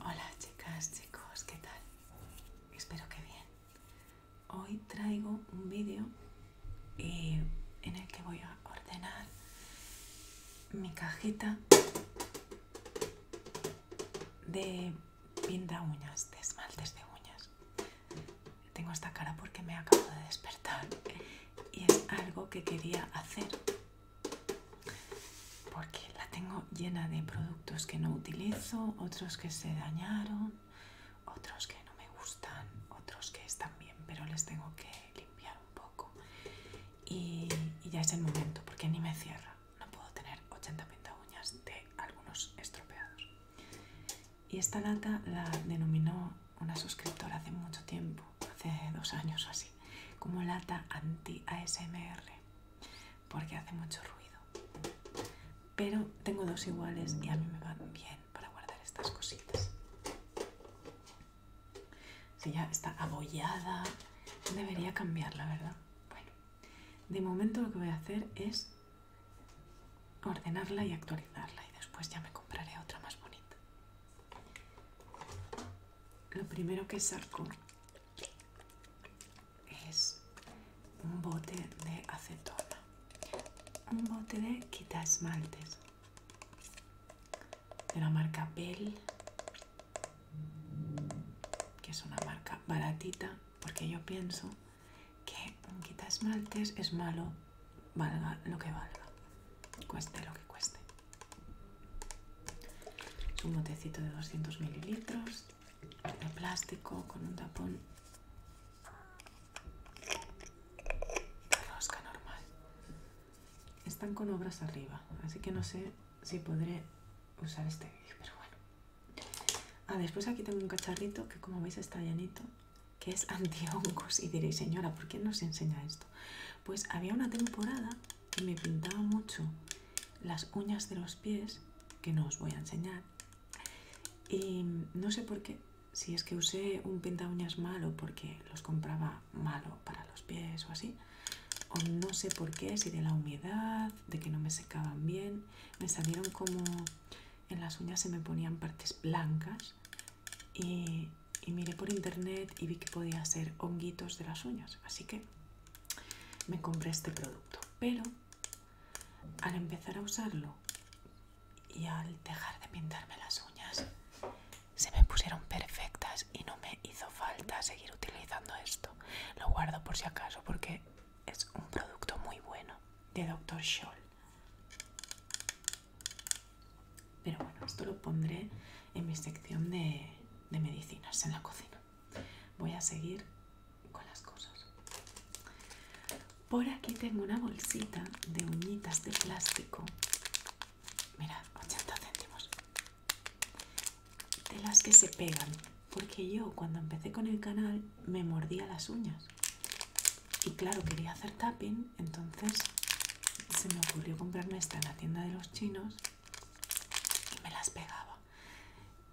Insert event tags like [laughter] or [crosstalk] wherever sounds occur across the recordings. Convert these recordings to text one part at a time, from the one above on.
Hola chicas, chicos, ¿qué tal? Espero que bien. Hoy traigo un vídeo eh, en el que voy a ordenar mi cajita de pinta uñas, de esmaltes de uñas. Tengo esta cara porque me acabo de despertar y es algo que quería hacer porque la tengo llena de productos que no utilizo, otros que se dañaron, otros que no me gustan, otros que están bien, pero les tengo que limpiar un poco. Y, ya es el momento, porque ni me cierra. No puedo tener 80 uñas de algunos estropeados. Y esta lata la denominó una suscriptora hace mucho tiempo hace dos años así, como lata anti-ASMR, porque hace mucho ruido. Pero tengo dos iguales y a mí me van bien para guardar estas cositas. Si ya está abollada, debería cambiarla, ¿verdad? Bueno, de momento lo que voy a hacer es ordenarla y actualizarla y después ya me compraré otra más bonita lo primero que saco es un bote de acetona, un bote de quita de la marca Bell, que es una marca baratita, porque yo pienso que un quita es malo, valga lo que valga cueste lo que cueste. Es un botecito de 200 mililitros de plástico con un tapón de rosca normal. Están con obras arriba, así que no sé si podré usar este vídeo, pero bueno. Ah, después aquí tengo un cacharrito que como veis está llenito, que es [laughs] antihongos. Y diréis, señora, ¿por qué nos enseña esto? Pues había una temporada me pintaba mucho las uñas de los pies, que no os voy a enseñar. Y no sé por qué, si es que usé un pinta uñas malo porque los compraba malo para los pies o así, o no sé por qué, si de la humedad, de que no me secaban bien, me salieron como en las uñas se me ponían partes blancas y y miré por internet y vi que podía ser honguitos de las uñas. Así que me compré este producto. Pero al empezar a usarlo y al dejar de pintarme las uñas, se me pusieron perfectas y no me hizo falta seguir utilizando esto. Lo guardo por si acaso porque es un producto muy bueno de Dr. Scholl. Pero bueno, esto lo pondré en mi sección de, medicinas en la cocina. Voy a seguir con las cosas. Por aquí tengo una bolsita de uñitas de plástico. mira 80 céntimos. De las que se pegan. Porque yo cuando empecé con el canal me mordía las uñas. Y claro, quería hacer tapping, entonces se me ocurrió comprarme esta en la tienda de los chinos y me las pegaba.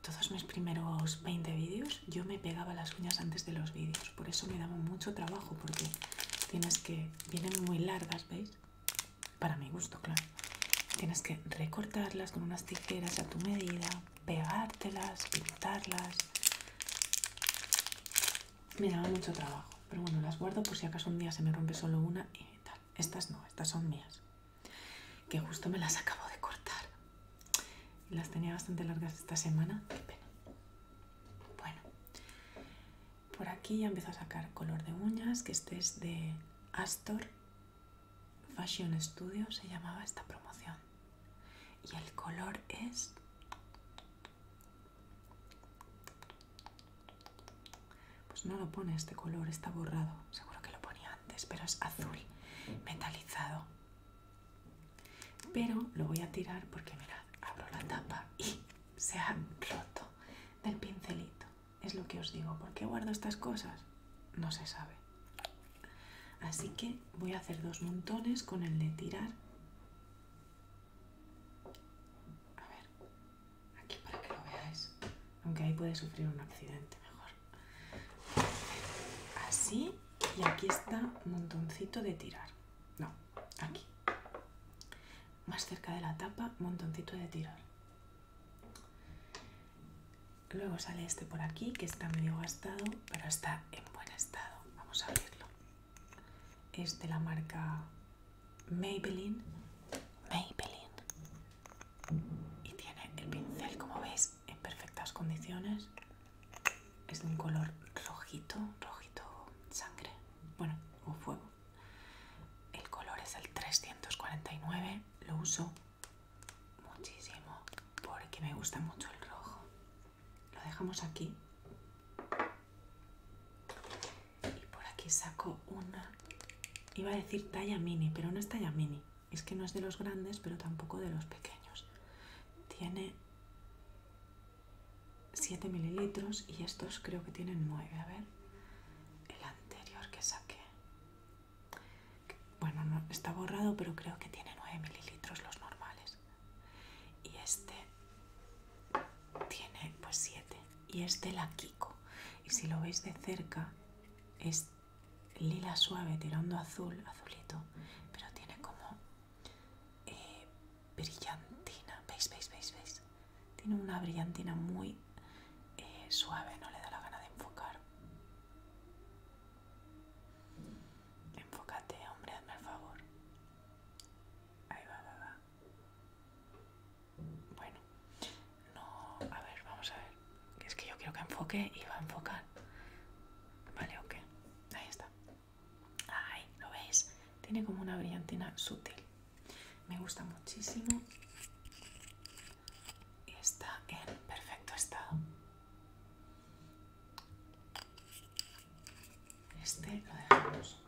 Todos mis primeros 20 vídeos yo me pegaba las uñas antes de los vídeos, por eso me daba mucho trabajo porque tienes que, vienen muy largas, ¿veis? Para mi gusto, claro. Tienes que recortarlas con unas tijeras a tu medida, pegártelas, pintarlas. Me daba mucho trabajo, pero bueno, las guardo por si acaso un día se me rompe solo una y estas no, estas son mías. Que justo me las acabo de cortar. Las tenía bastante largas esta semana. Qué pena. Bueno. Por aquí ya empiezo a sacar color de uñas, que este es de Astor Fashion Studio, se llamaba esta promoción. Y el color es pues no lo pone este color, está borrado. Seguro que lo ponía antes, pero es azul metalizado. Pero lo voy a tirar porque mirad, abro la tapa y se ha roto del pincelito. Es lo que os digo, ¿por qué guardo estas cosas? No se sabe. Así que voy a hacer dos montones con el de tirar a ver, aquí para que lo veáis. Aunque ahí puede sufrir un accidente mejor. Así y aquí está montoncito de tirar. No, aquí. Más cerca de la tapa, montoncito de tirar. Luego sale este por aquí que está medio gastado, pero está en buen estado. Vamos a abrirlo. Es de la marca Maybelline. Maybelline. Y tiene el pincel, como veis, en perfectas condiciones. Es de un color rojito, rojito sangre. Bueno, o fuego. El color es el 349. Lo uso muchísimo porque me gusta mucho el rojo. Lo dejamos aquí y por aquí saco una... Iba a decir talla mini, pero no es talla mini. Es que no es de los grandes, pero tampoco de los pequeños. Tiene 7 mililitros y estos creo que tienen 9. A ver, el anterior que saqué. Bueno, está borrado, pero creo que tiene 9 mililitros los normales. Y este tiene pues 7 y es de la Kiko. Y si lo veis de cerca, es lila suave tirando azul, azulito, pero tiene como eh, brillantina. ¿Veis, veis, veis, veis? Tiene una brillantina muy eh, suave, no le da la gana de enfocar. Enfócate, hombre, hazme el favor. Ahí va, va, va. Bueno, no, a ver, vamos a ver. Es que yo quiero que enfoque y va a enfocar. Vale, ok. Ahí está. Ay, ¿lo veis? Tiene como una brillantina sutil. Me gusta muchísimo. Y está en perfecto estado. Este lo dejamos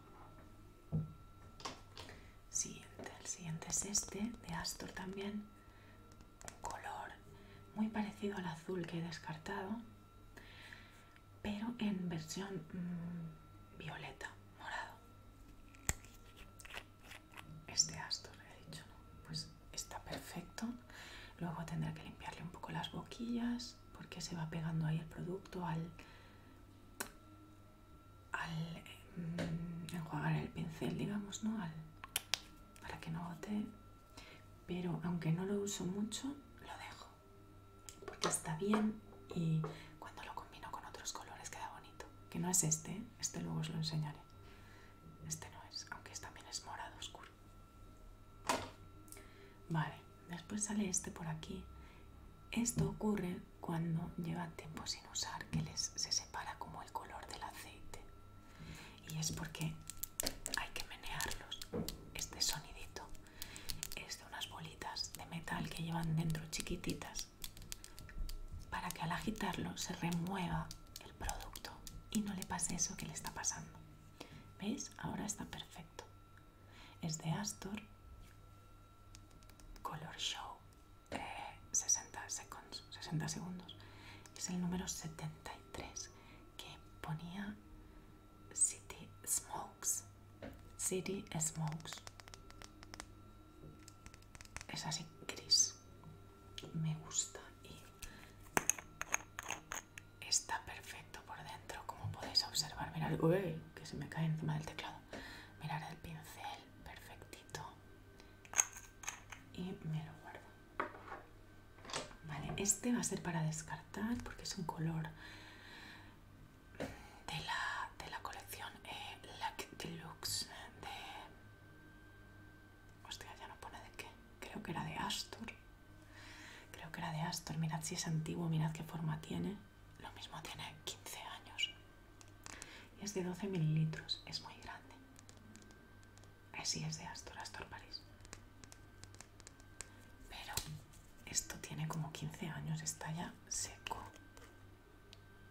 Siguiente, el siguiente es este, de Astor también. Un color muy parecido al azul que he descartado, pero en versión mm, violeta, morado. Este Astor, he dicho, ¿no? Pues está perfecto. Luego tendré que limpiarle un poco las boquillas porque se va pegando ahí el producto al, al mm, enjuagar el pincel, digamos, ¿no? Al, para que no bote. Pero aunque no lo uso mucho, lo dejo. Porque está bien y cuando lo combino con otros colores queda bonito. Que no es este, ¿eh? este luego os lo enseñaré. Este no es, aunque también es morado oscuro. Vale después sale este por aquí. Esto ocurre cuando lleva tiempo sin usar, que les, se separa como el color del aceite. Y es porque hay que menearlos. Este sonidito es de unas bolitas de metal que llevan dentro chiquititas para que al agitarlo se remueva el producto y no le pase eso que le está pasando. ¿Veis? Ahora está perfecto. Es de Astor Color Show 60, seconds, 60 segundos. Es el número 73 que ponía City Smokes. City Smokes. Es así gris. Me gusta y está perfecto por dentro, como podéis observar. Mirad, que se me cae encima del teclado. Mirad el pincel, perfectito. Y me lo guardo. Vale, este va a ser para descartar porque es un color de la, de la colección eh, Deluxe de... Hostia, ya no pone de qué. Creo que era de Astor. Creo que era de Astor. Mirad si es antiguo, mirad qué forma tiene lo mismo tiene 15 años y es de 12 mililitros, es muy grande. Así es de Astor, Astor París. Pero esto tiene como 15 años, está ya seco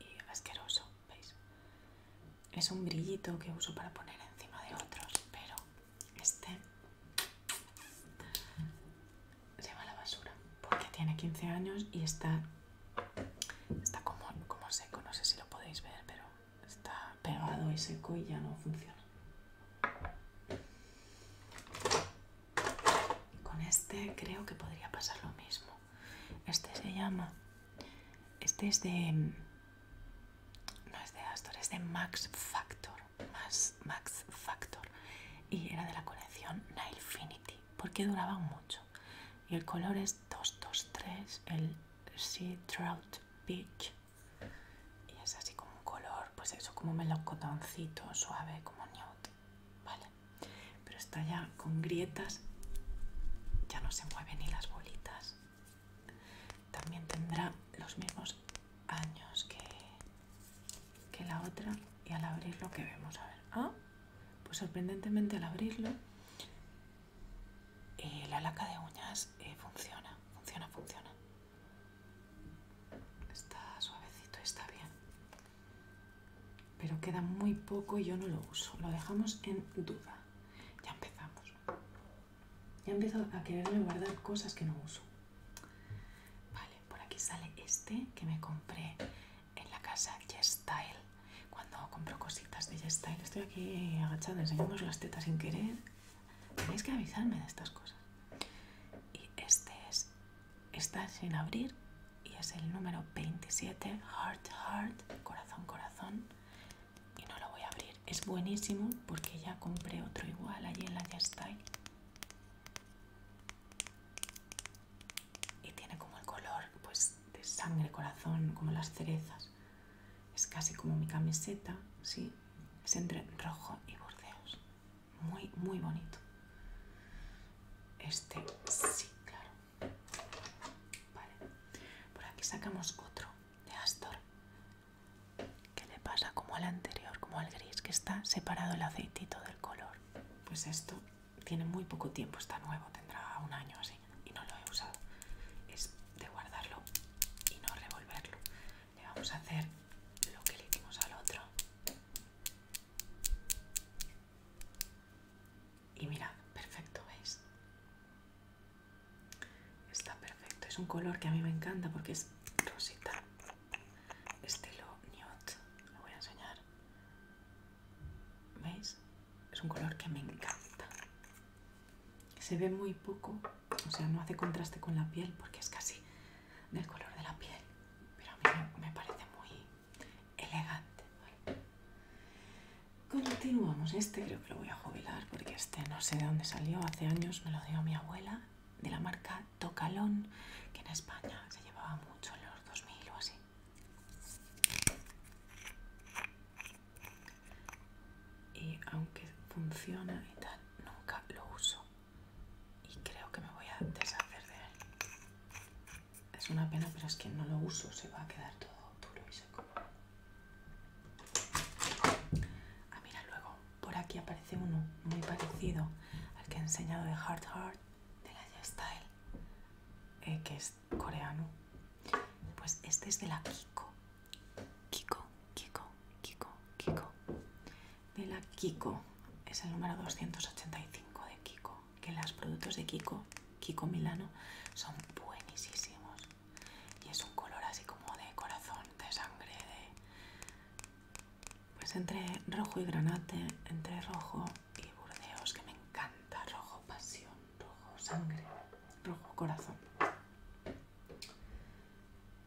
y asqueroso, ¿veis? Es un brillito que uso para poner encima de otros, pero este se llama la basura porque tiene 15 años y está, está como, como seco, no sé si lo podéis ver, pero está pegado y seco y ya no funciona. Con este creo que podría pasar lo mismo. Este se llama, este es de, no es de Astor, es de Max Factor, más Max, Factor y era de la colección Nailfinity porque duraban mucho y el color es 223 el Sea Trout Beach y es así como un color pues eso como melocotoncito suave como nude vale pero está ya con grietas ya no se mueven ni las bolitas también tendrá los mismos años que que la otra y al abrirlo que vemos a ver ah pues sorprendentemente al abrirlo eh, la laca de uñas eh, funciona funciona funciona está suavecito está bien pero queda muy poco y yo no lo uso lo dejamos en duda ya empezamos ya empiezo a quererme guardar cosas que no uso vale por aquí sale este que me compré en la casa YesStyle. Cuando compro cositas de YesStyle, estoy aquí agachada enseñamos las tetas sin querer. Tenéis que avisarme de estas cosas. Y este es, está sin abrir y es el número 27, Heart Heart, corazón corazón. Y no lo voy a abrir. Es buenísimo porque ya compré otro igual allí en la YesStyle y tiene como el color pues de sangre, corazón, como las cerezas. Es casi como mi camiseta, sí, es entre rojo y bordeos. Muy, muy bonito. Este, sí, claro. Vale. Por aquí sacamos otro de Astor. ¿Qué le pasa como al anterior, como al gris, que está separado el aceitito del color. Pues esto tiene muy poco tiempo, está nuevo, tendrá un año así, y no lo he usado. Es de guardarlo y no revolverlo. Le vamos a hacer lo que le hicimos al otro. Y mirad, perfecto, ¿veis? Está perfecto. Es un color que a mí me encanta porque es rosita estilo nude, lo voy a enseñar. ¿Veis? Es un color que me encanta. Se ve muy poco, o sea, no hace contraste con la piel porque es casi del color de la piel, pero a mí me parece muy elegante. Continuamos, este creo que lo voy a jubilar porque este no sé de dónde salió, hace años me lo dio mi abuela de la marca Tocalón, que en España se llevaba mucho en los 2000 o así. Y aunque funciona y tal, nunca lo uso. Y creo que me voy a deshacer de él. Es una pena, pero es que no lo uso, se va a quedar todo duro y seco. Ah, mira, luego por aquí aparece uno muy parecido al que he enseñado de Heart Heart de la Style, eh, que es coreano. Pues este es de la Kiko. Kiko, Kiko, Kiko, Kiko. De la Kiko. Es el número 285 de Kiko. Que los productos de Kiko, Kiko Milano, son buenísimos. Y es un color así como de corazón, de sangre, de pues entre rojo y granate, entre rojo y burdeos, que me encanta. Rojo pasión, rojo sangre, rojo corazón.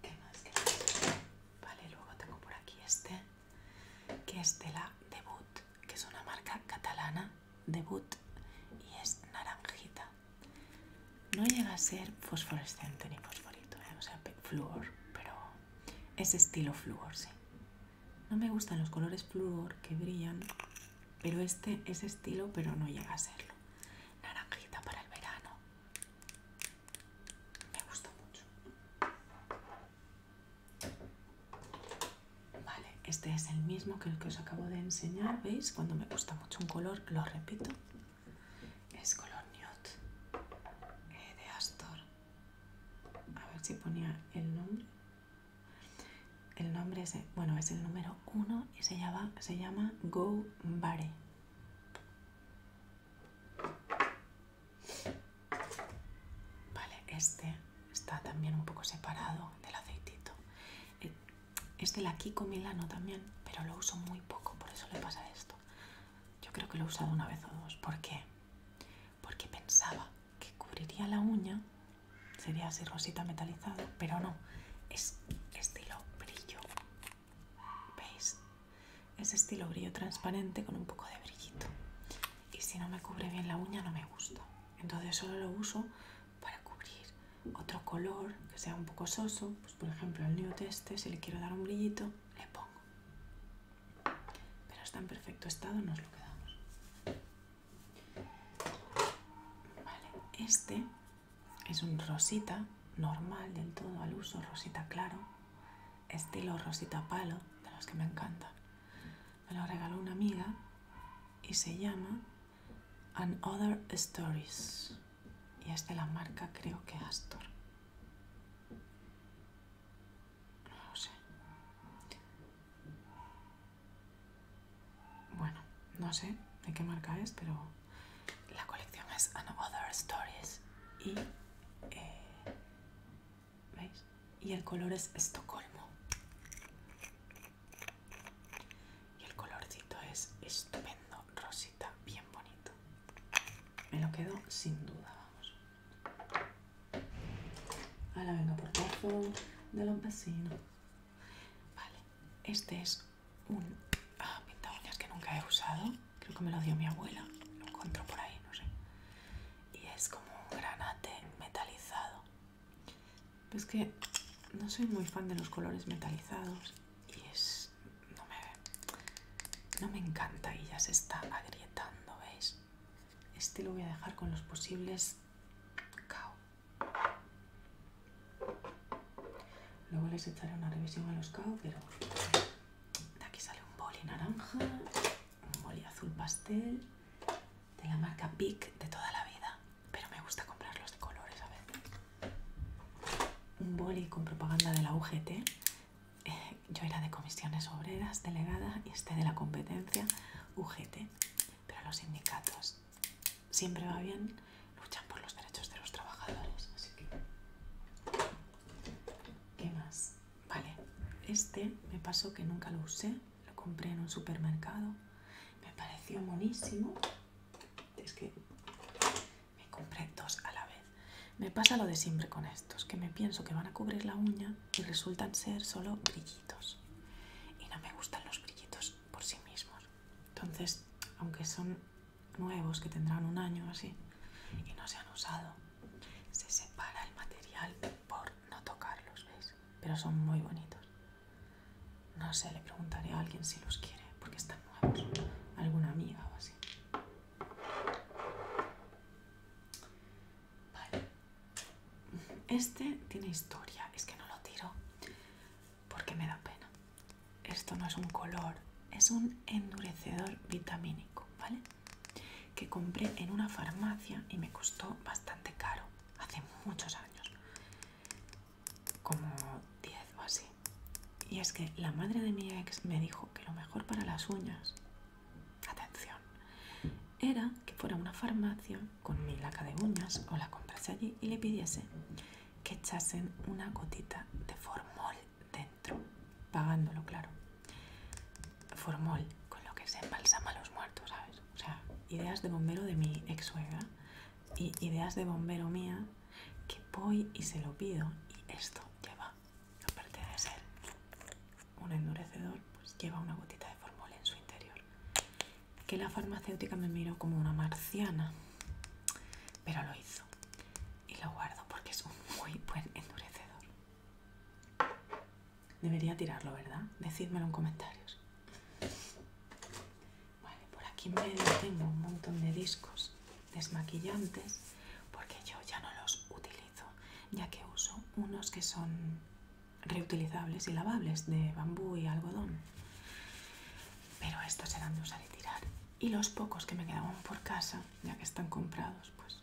¿Qué más? Vale, luego tengo por aquí este, que es de la Debut, que es una marca catalana, Debut, y es naranjita. No llega a ser fosforescente ni fosforito, ¿eh? o sea, fluor, pero es estilo flúor, sí. No me gustan los colores flúor que brillan, pero este es estilo, pero no llega a serlo. Naranjita para el verano. Me gusta mucho. Vale, este es el mismo que el que os acabo de enseñar, ¿veis? Cuando me gusta mucho un color, lo repito es color nude eh, de Astor a ver si ponía el nombre el nombre es bueno es el número uno y se llama se llama Go Bare vale este está también un poco separado del aceitito eh, es de la Kiko Milano también pero lo uso muy poco por eso le pasa esto yo creo que lo he usado una vez o dos. ¿Por qué? Porque pensaba que cubriría la uña, sería así rosita metalizada, pero no, es estilo brillo. ¿Veis? Es estilo brillo transparente con un poco de brillito. Y si no me cubre bien la uña, no me gusta. Entonces solo lo uso para cubrir otro color que sea un poco soso. Pues por ejemplo, el nude teste si le quiero dar un brillito, le pongo. Pero está en perfecto estado, nos lo quedamos. este es un rosita normal del todo al uso, rosita claro, estilo rosita palo, de los que me encanta. Me lo regaló una amiga y se llama An Other Stories y es de la marca creo que Astor. No sé. Bueno, no sé de qué marca es, pero la colección es Another Stories y... Eh, ¿Veis? Y el color es Estocolmo. Y el colorcito es estupendo, rosita bien bonito. Me lo quedo sin duda, vamos. Ahora vengo por debajo de los Vale, este es un ah, que nunca he usado. Creo que me lo dio mi abuela. Lo encontró por ahí, no sé. Y es como un granate metalizado. pues que no soy muy fan de los colores metalizados y es no me, no me encanta y ya se está agrietando, ¿veis? Este lo voy a dejar con los posibles K.O. Luego les echaré una revisión a los caos pero de aquí sale un boli naranja, un boli azul pastel de la marca Pic de toda la vida, pero me gusta comprarlos de colores a veces. Un boli con propaganda de la UGT eh, yo era de comisiones obreras, delegada, y este de la competencia, UGT. Pero los sindicatos siempre va bien, luchan por los derechos de los trabajadores. Así que... ¿Qué más? Vale, este me pasó que nunca lo usé, lo compré en un supermercado, me pareció monísimo. Es que me compré dos a la vez. Me pasa lo de siempre con estos, que me pienso que van a cubrir la uña y resultan ser solo brillitos. Y no me gustan los brillitos por sí mismos. Entonces, aunque son nuevos, que tendrán un año así, y no se han usado, se separa el material por no tocarlos, ¿veis? Pero son muy bonitos. No sé, le preguntaré a alguien si los quiere, porque están nuevos. Alguna amiga o así. Este tiene historia, es que no lo tiro porque me da pena. Esto no es un color, es un endurecedor vitamínico, ¿vale? Que compré en una farmacia y me costó bastante caro, hace muchos años, como 10 o así. Y es que la madre de mi ex me dijo que lo mejor para las uñas, atención, era que fuera a una farmacia con mi laca de uñas o la comprase allí y le pidiese que echasen una gotita de formol dentro, pagándolo, claro. Formol, con lo que se embalsama a los muertos, ¿sabes? O sea, ideas de bombero de mi ex suegra y ideas de bombero mía que voy y se lo pido y esto lleva, aparte de ser un endurecedor, pues lleva una gotita de formol en su interior. Que la farmacéutica me miró como una marciana, pero lo hizo y lo guardo porque es un muy buen endurecedor. Debería tirarlo, ¿verdad? Decídmelo en comentarios. Vale, por aquí me tengo un montón de discos desmaquillantes porque yo ya no los utilizo, ya que uso unos que son reutilizables y lavables de bambú y algodón. Pero estos eran de usar y tirar. Y los pocos que me quedaban por casa, ya que están comprados, pues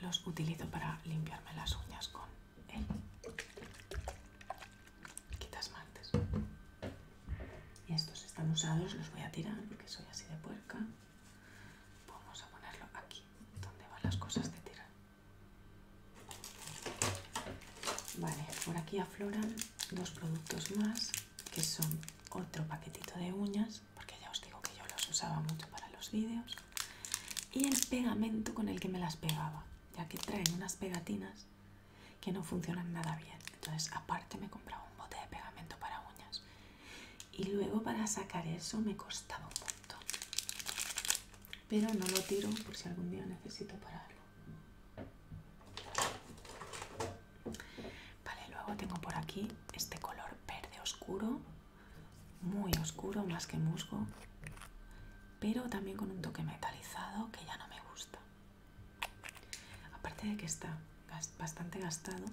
los utilizo para limpiarme las uñas con el Quita y estos están usados, los voy a tirar porque soy así de puerca. Vamos a ponerlo aquí, donde van las cosas de tirar. Vale, por aquí afloran dos productos más, que son otro paquetito de uñas, porque ya os digo que yo los usaba mucho para los vídeos, y el pegamento con el que me las pegaba, ya que traen unas pegatinas que no funcionan nada bien. Entonces, aparte me he comprado un bote de pegamento para uñas. Y luego para sacar eso me costaba un montón. Pero no lo tiro por si algún día necesito pararlo. Vale, luego tengo por aquí este color verde oscuro. Muy oscuro, más que musgo. Pero también con un toque metalizado que ya no me gusta. Aparte de que está bastante gastado,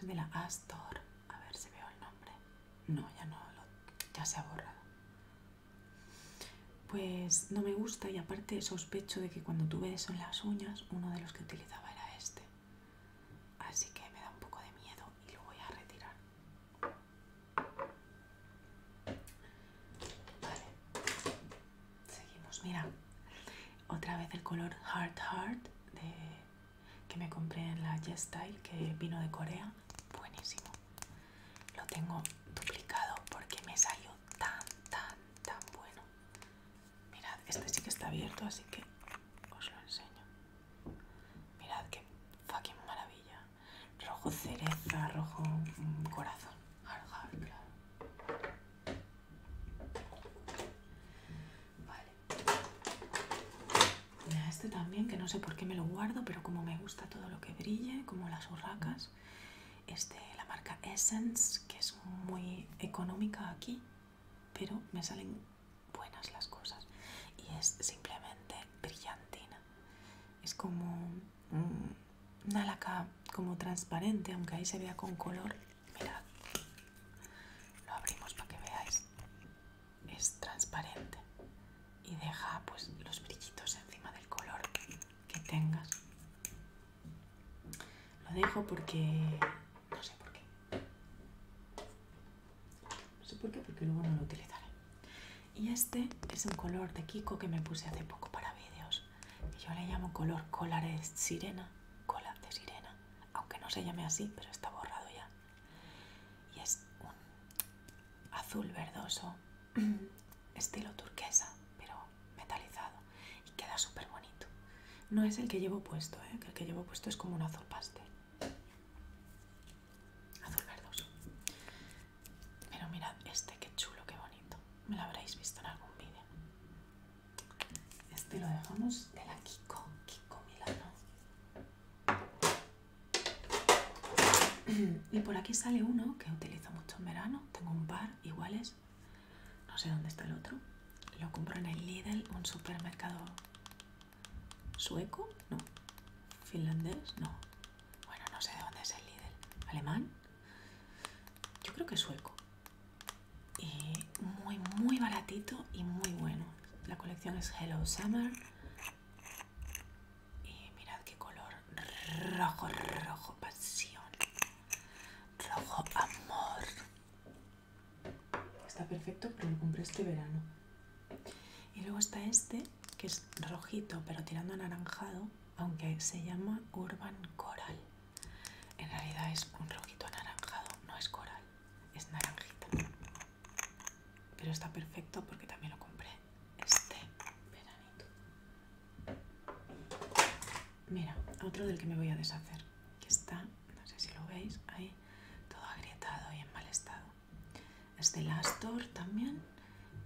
es de la Astor. A ver si veo el nombre. No, ya no, ya se ha borrado. Pues no me gusta y aparte sospecho de que cuando tuve eso en las uñas, uno de los que utilizaba era este. Así que me da un poco de miedo y lo voy a retirar. Vale. Seguimos, mira. Otra vez el color Heart Heart que me compré en la jess Style, que vino de Corea. Buenísimo. Lo tengo duplicado porque me salió tan, tan, tan bueno. Mirad, este sí que está abierto, así que os lo enseño. Mirad qué fucking maravilla. Rojo cereza, rojo mm, corazón. Hard, claro. Este también, que no sé por qué me lo guardo, pero como me gusta todo lo que brille, como las urracas. este la marca Essence, que es muy económica aquí, pero me salen buenas las cosas. Y es simplemente brillantina. Es como una laca como transparente, aunque ahí se vea con color. Mirad, lo abrimos para que veáis. Es transparente y deja pues los brillitos encima del color que tengas. Lo dejo porque no sé por qué. No sé por qué, porque luego no lo utilizaré. Y este es un color de Kiko que me puse hace poco para vídeos yo le llamo color cola de sirena, cola de sirena, aunque no se llame así, pero está borrado ya. Y es un azul verdoso, [clears throat] estilo turquesa, pero metalizado, y queda súper bonito. No es el que llevo puesto, ¿eh? que el que llevo puesto es como un azul pastel. Azul verdoso. Pero mirad este, qué chulo, qué bonito. Me lo habréis visto en algún vídeo. Este lo dejamos de la Kiko, Kiko Milano. [clears throat] Y por aquí sale uno que utilizo mucho en verano. Tengo un par iguales. No sé dónde está el otro. Lo compro en el Lidl, un supermercado sueco, no. Finlandés, no. Bueno, no sé de dónde es el Lidl. ¿Alemán? yo creo que es sueco. Y muy, muy baratito y muy bueno. La colección es Hello Summer. Y mirad qué color. Rojo, rojo, pasión. Rojo, amor. Está perfecto, pero lo compré este verano. Y luego está este, que es rojito, pero tirando anaranjado aunque se llama Urban Coral. En realidad es un rojito anaranjado, no es coral, es naranjita. Pero está perfecto porque también lo compré este veranito. Mira, otro del que me voy a deshacer, que está, no sé si lo veis, ahí todo agrietado y en mal estado. Es de Astor también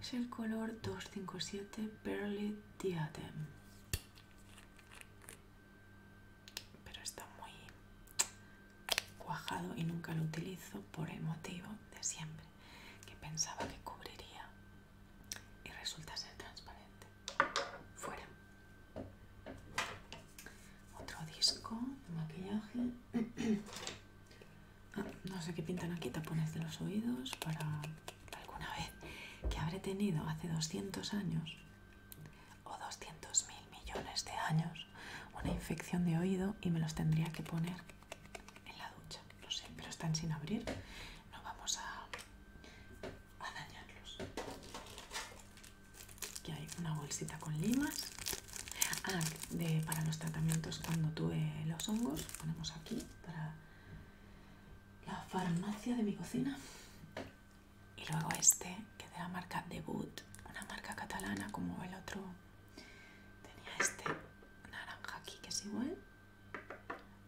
es el color 257 Pearly Diadem. Pero está muy cuajado y nunca lo utilizo por el motivo de siempre, que pensaba que cubriría y resulta ser transparente. Fuera. Otro disco de maquillaje. [clears throat] no sé qué pintan aquí, tapones de los oídos para alguna vez que habré tenido hace 200 años o 200 mil millones de años una infección de oído y me los tendría que poner en la ducha. No sé, pero están sin abrir. No vamos a, dañarlos. Aquí hay una bolsita con limas. Ah, para los tratamientos cuando tuve los hongos, ponemos aquí para la farmacia de mi cocina. Y luego este, que es de la marca Debut, una marca catalana como el otro. Tenía este naranja aquí que es igual.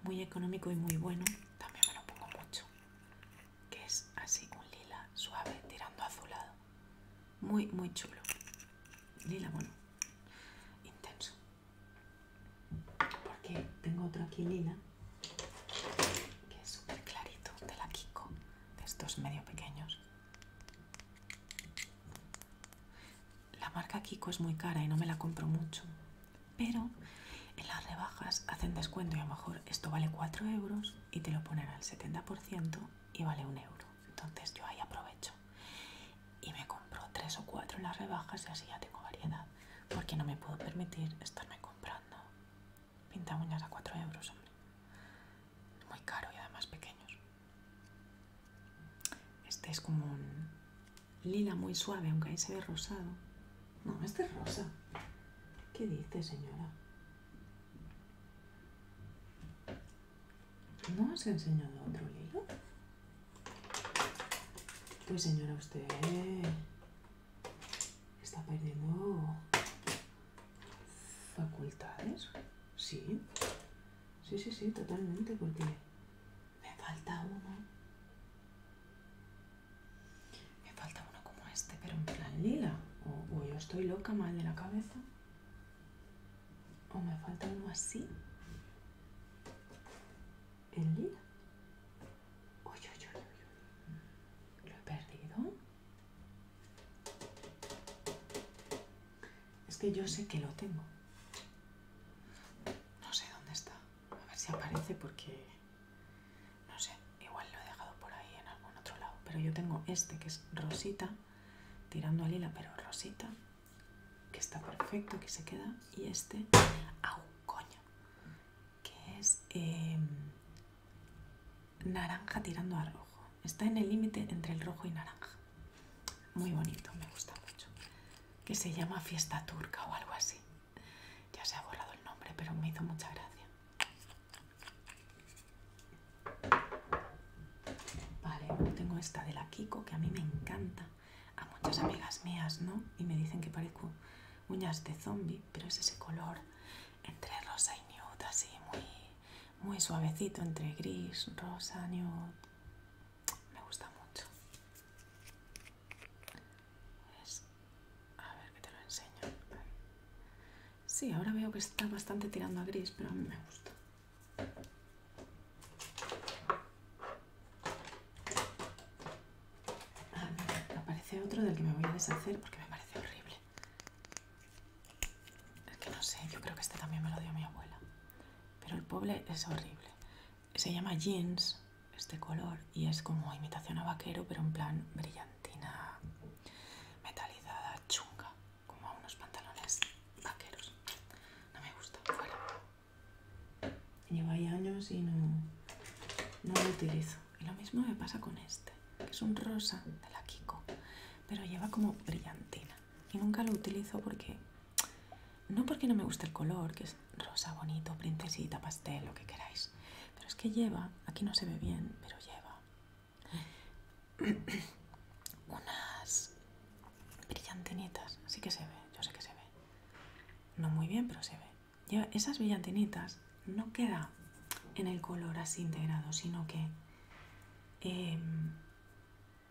Muy económico y muy bueno. También me lo pongo mucho. Que es así, un lila suave tirando azulado. Muy, muy chulo. Lila, bueno, intenso porque tengo otra aquí que es súper clarito de la Kiko de estos medio pequeños la marca Kiko es muy cara y no me la compro mucho pero en las rebajas hacen descuento y a lo mejor esto vale 4 euros y te lo ponen al 70% y vale un euro entonces yo ahí aprovecho y me compro tres o cuatro en las rebajas y así ya tengo variedad porque no me puedo permitir estarme comprando pinta a 4 euros hombre muy caro y además pequeños este es como un lila muy suave aunque ahí se ve rosado no este es rosa ¿qué dice señora? ¿No os he enseñado otro lila? Pues señora, usted ¿eh? está perdiendo facultades. Sí, sí, sí, sí, totalmente, porque me falta uno. Me falta uno como este, pero en plan lila. O, yo estoy loca mal de la cabeza o me falta uno así en lila uy, uy, uy, lo he perdido es que yo sé que lo tengo no sé dónde está a ver si aparece porque no sé igual lo he dejado por ahí en algún otro lado pero yo tengo este que es rosita tirando a lila pero rosita que está perfecto, que se queda, y este a coño, que es em, naranja tirando a rojo. Está en el límite entre el rojo y naranja. Muy bonito, me gusta mucho. Que se llama Fiesta Turca o algo así. Ya se ha borrado el nombre, pero me hizo mucha gracia. Vale, tengo esta de la Kiko que a mí me encanta a, muchas amigas mías, ¿no? Y me dicen que parezco uñas de zombie, pero es ese color entre rosa y nude, así muy, muy suavecito, entre gris, rosa, nude. Me gusta mucho. a ver que te lo enseño. Sí, ahora veo que está bastante tirando a gris, pero a mí me gusta. Ah, aparece otro del que me voy a deshacer porque me parece horrible. Es que no sé, yo creo que este también me lo dio mi abuela. Pero el pobre es horrible. Se llama jeans, este color, y es como imitación a vaquero, pero en plan brillantina metalizada, chunga, como a unos pantalones vaqueros. No me gusta, fuera. Lleva ahí años y no, no lo utilizo. Y lo mismo me pasa con este, que es un rosa de la Kiko, pero lleva como brillantina. Y nunca lo utilizo porque, no porque no me guste el color, que es rosa bonito, princesita, pastel, lo que queráis. Pero es que lleva, aquí no se ve bien, pero lleva mm. [clears throat] unas brillantinitas, sí que se ve, yo sé que se ve. No muy bien, pero se ve. esas brillantinitas no queda en el color así integrado, sino que em,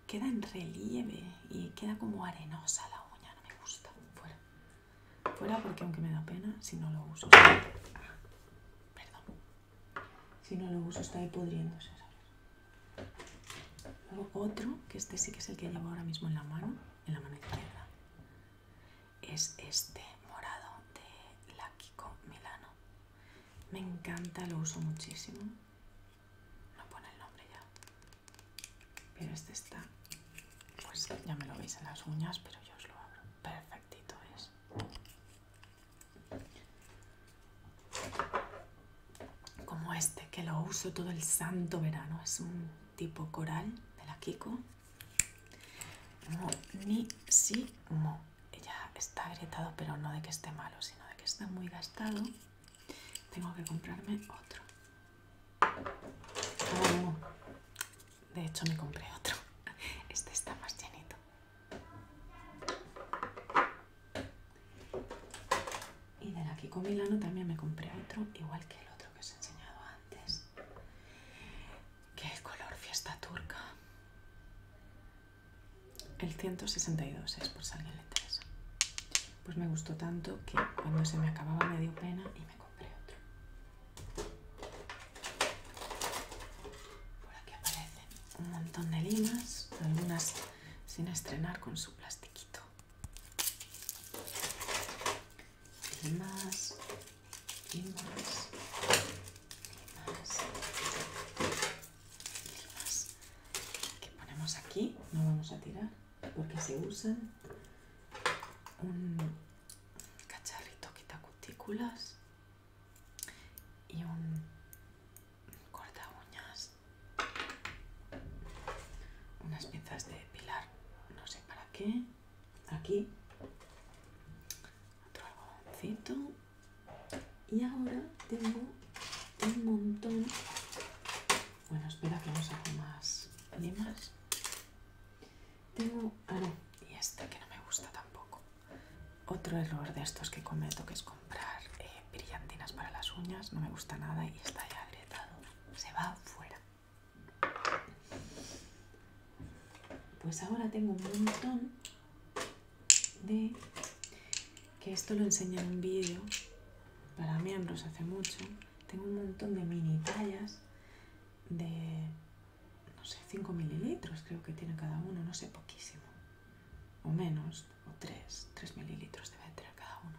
queda en relieve y queda como arenosa la uña, no me gusta. Fuera. Fuera porque aunque me da pena, si no lo uso... Ah, perdón. Si no lo uso está ahí pudriéndose, otro, que este sí que es el que llevo ahora mismo en la mano, en la mano izquierda, es este morado de la Milano. Me encanta, lo uso muchísimo. No pone el nombre ya. Pero este está, pues ya me lo veis en las uñas, pero yo os lo abro. Perfectito es como este que lo uso todo el santo verano es un tipo coral de la Kiko monísimo ella está agrietado pero no de que esté malo sino de que está muy gastado tengo que comprarme otro oh, de hecho me compré otro este está más llenito y de la con Milano también me compré otro, igual que el otro que os he enseñado antes, que el color fiesta turca. El 162 es por salir alguien le Pues me gustó tanto que cuando se me acababa me dio pena y me compré otro. Por aquí aparecen un montón de limas, algunas sin estrenar con su plastiquito y más y más y más que ponemos aquí no vamos a tirar porque se usan un cacharrito quitacutículas cutículas y un corta uñas, unas piezas de pilar, no sé para qué, aquí, otro algodoncito y ahora tengo un montón, bueno espera que no a más limas, tengo, ah y este que no me gusta tampoco, otro error de estos que cometo que es como comprar eh, brillantinas para las uñas, no me gusta nada y está ya agrietado. Se va fuera. Pues ahora tengo un montón de... que esto lo enseñé en un vídeo para miembros hace mucho. Tengo un montón de mini tallas de, no sé, 5 mililitros creo que tiene cada uno, no sé, poquísimo o menos, o 3, 3 mililitros debe tener cada uno,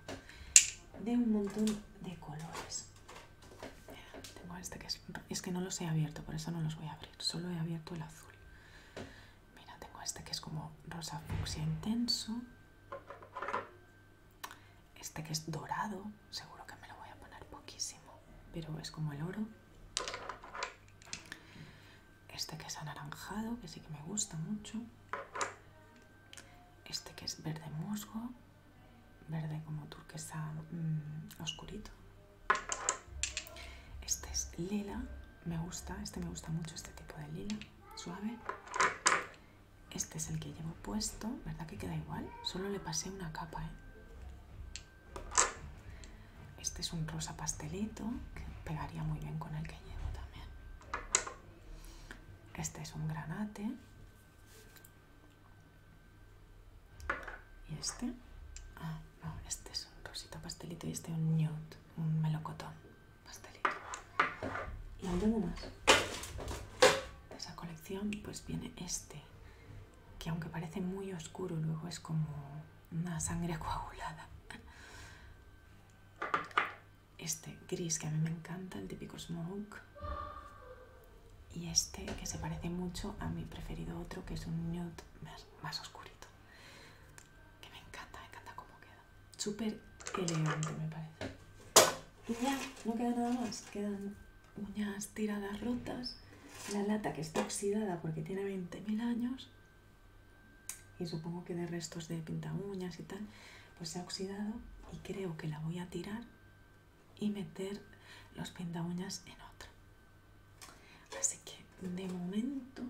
de un montón de colores. tengo este que es, es que no los he abierto, por eso no los voy a abrir, solo he abierto el azul. Mira, tengo este que es como rosa fucsia intenso, este que es dorado, seguro que me lo voy a poner poquísimo, pero es como el oro este que es anaranjado, que sí que me gusta mucho, este que es verde musgo, verde como turquesa mm, oscurito, este es lila, me gusta, este me gusta mucho, este tipo de lila, suave, este es el que llevo puesto, ¿verdad que queda igual? Solo le pasé una capa, ¿eh? Este es un rosa pastelito que pegaría muy bien con el que llevo también. Este es un granate. Y este, ah, no, este es un rosita pastelito y este un nude, un melocotón pastelito. Y alguno más de esa colección, pues viene este, que aunque parece muy oscuro, luego es como una sangre [laughs] coagulada. Este gris que a mí me encanta, el típico smoke. Y este que se parece mucho a mi preferido otro, que es un nude más, más oscurito. Que me encanta, me encanta cómo queda. Súper elegante me parece. Y ya, no queda nada más. Quedan uñas tiradas rotas, la lata que está oxidada porque tiene 20.000 años y supongo que de restos de pinta uñas y tal, pues se ha oxidado y creo que la voy a tirar y meter los pinta uñas en otra. Así que de momento,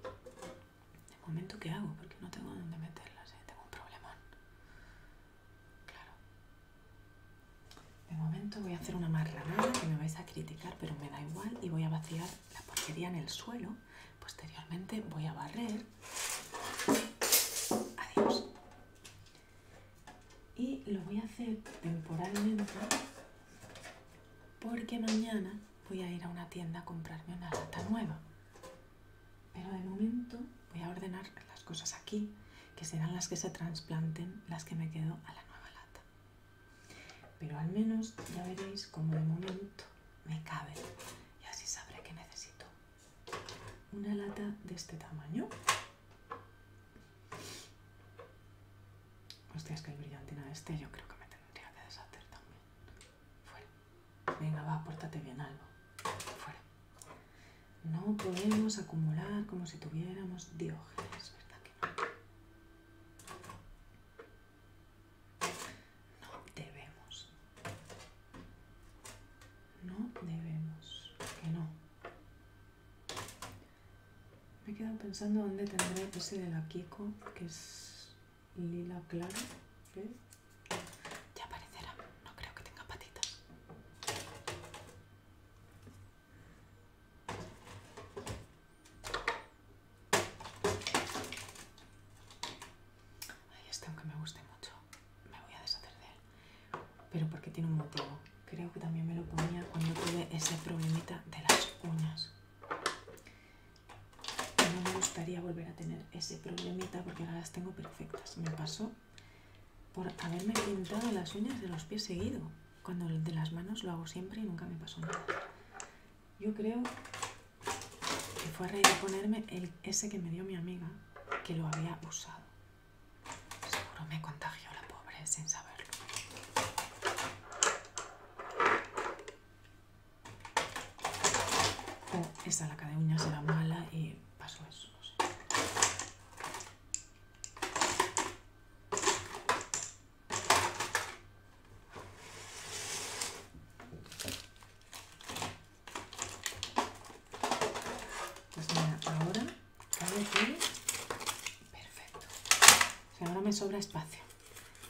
de momento ¿qué hago? Porque no tengo dónde meterlas, ¿eh? tengo un problemón. Claro. De momento voy a hacer una marra que me vais a criticar, pero me da igual y voy a vaciar la porquería en el suelo. Posteriormente voy a barrer. Adiós. Y lo voy a hacer temporalmente porque mañana voy a ir a una tienda a comprarme una lata nueva. Pero de momento voy a ordenar las cosas aquí, que serán las que se trasplanten, las que me quedo a la nueva lata. Pero al menos ya veréis como de momento me cabe y así sabré que necesito una lata de este tamaño. Hostia, es que el brillantina este yo creo que me tendría que deshacer también. Fuera. Venga, va, pórtate bien, algo. Fuera. No podemos acumular como si tuviéramos diógenes, ¿verdad que no? No debemos. No debemos. Que no. Me he quedado pensando dónde tendré ese de la Kiko, que es lila claro. Ya aparecerá. No creo que tenga patitas. Ay, este aunque me guste mucho, me voy a deshacer de él. Pero porque tiene un motivo. Creo que también me lo ponía cuando tuve ese problemita de las uñas. No me gustaría volver a tener ese problemita porque ahora las tengo perfectas. Me pasó por haberme pintado las uñas de los pies seguido. Cuando de las manos lo hago siempre y nunca me pasó nada. Yo creo que fue a reír de ponerme el, ese que me dio mi amiga, que lo había usado. Seguro me contagió la pobre sin saberlo. O oh, esa laca de uñas era mala y pasó eso. No sé. Pues mira, ahora cabe Perfecto. ahora me sobra espacio.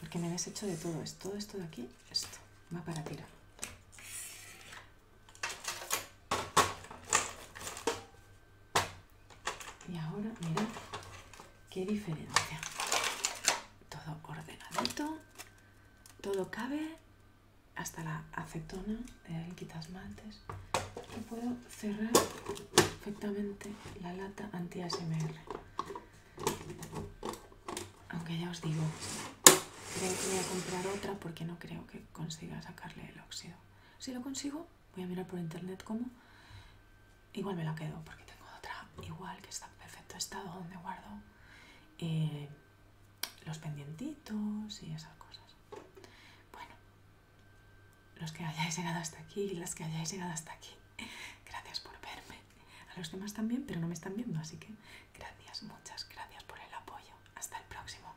Porque me habéis hecho de todo esto. Todo esto de aquí, esto. Va para tirar. Y ahora mirad qué diferencia. Todo ordenadito, todo cabe, hasta la acetona el quitasmaltes. Y puedo cerrar perfectamente la lata anti-ASMR. Aunque ya os digo, creo que voy a comprar otra porque no creo que consiga sacarle el óxido. Si lo consigo, voy a mirar por internet cómo Igual me la quedo porque tengo otra igual que está en perfecto estado donde guardo eh, los pendientitos y esas cosas. Bueno, los que hayáis llegado hasta aquí y las que hayáis llegado hasta aquí, [laughs] gracias por verme. A los demás también, pero no me están viendo, así que gracias, muchas gracias por el apoyo. Hasta el próximo.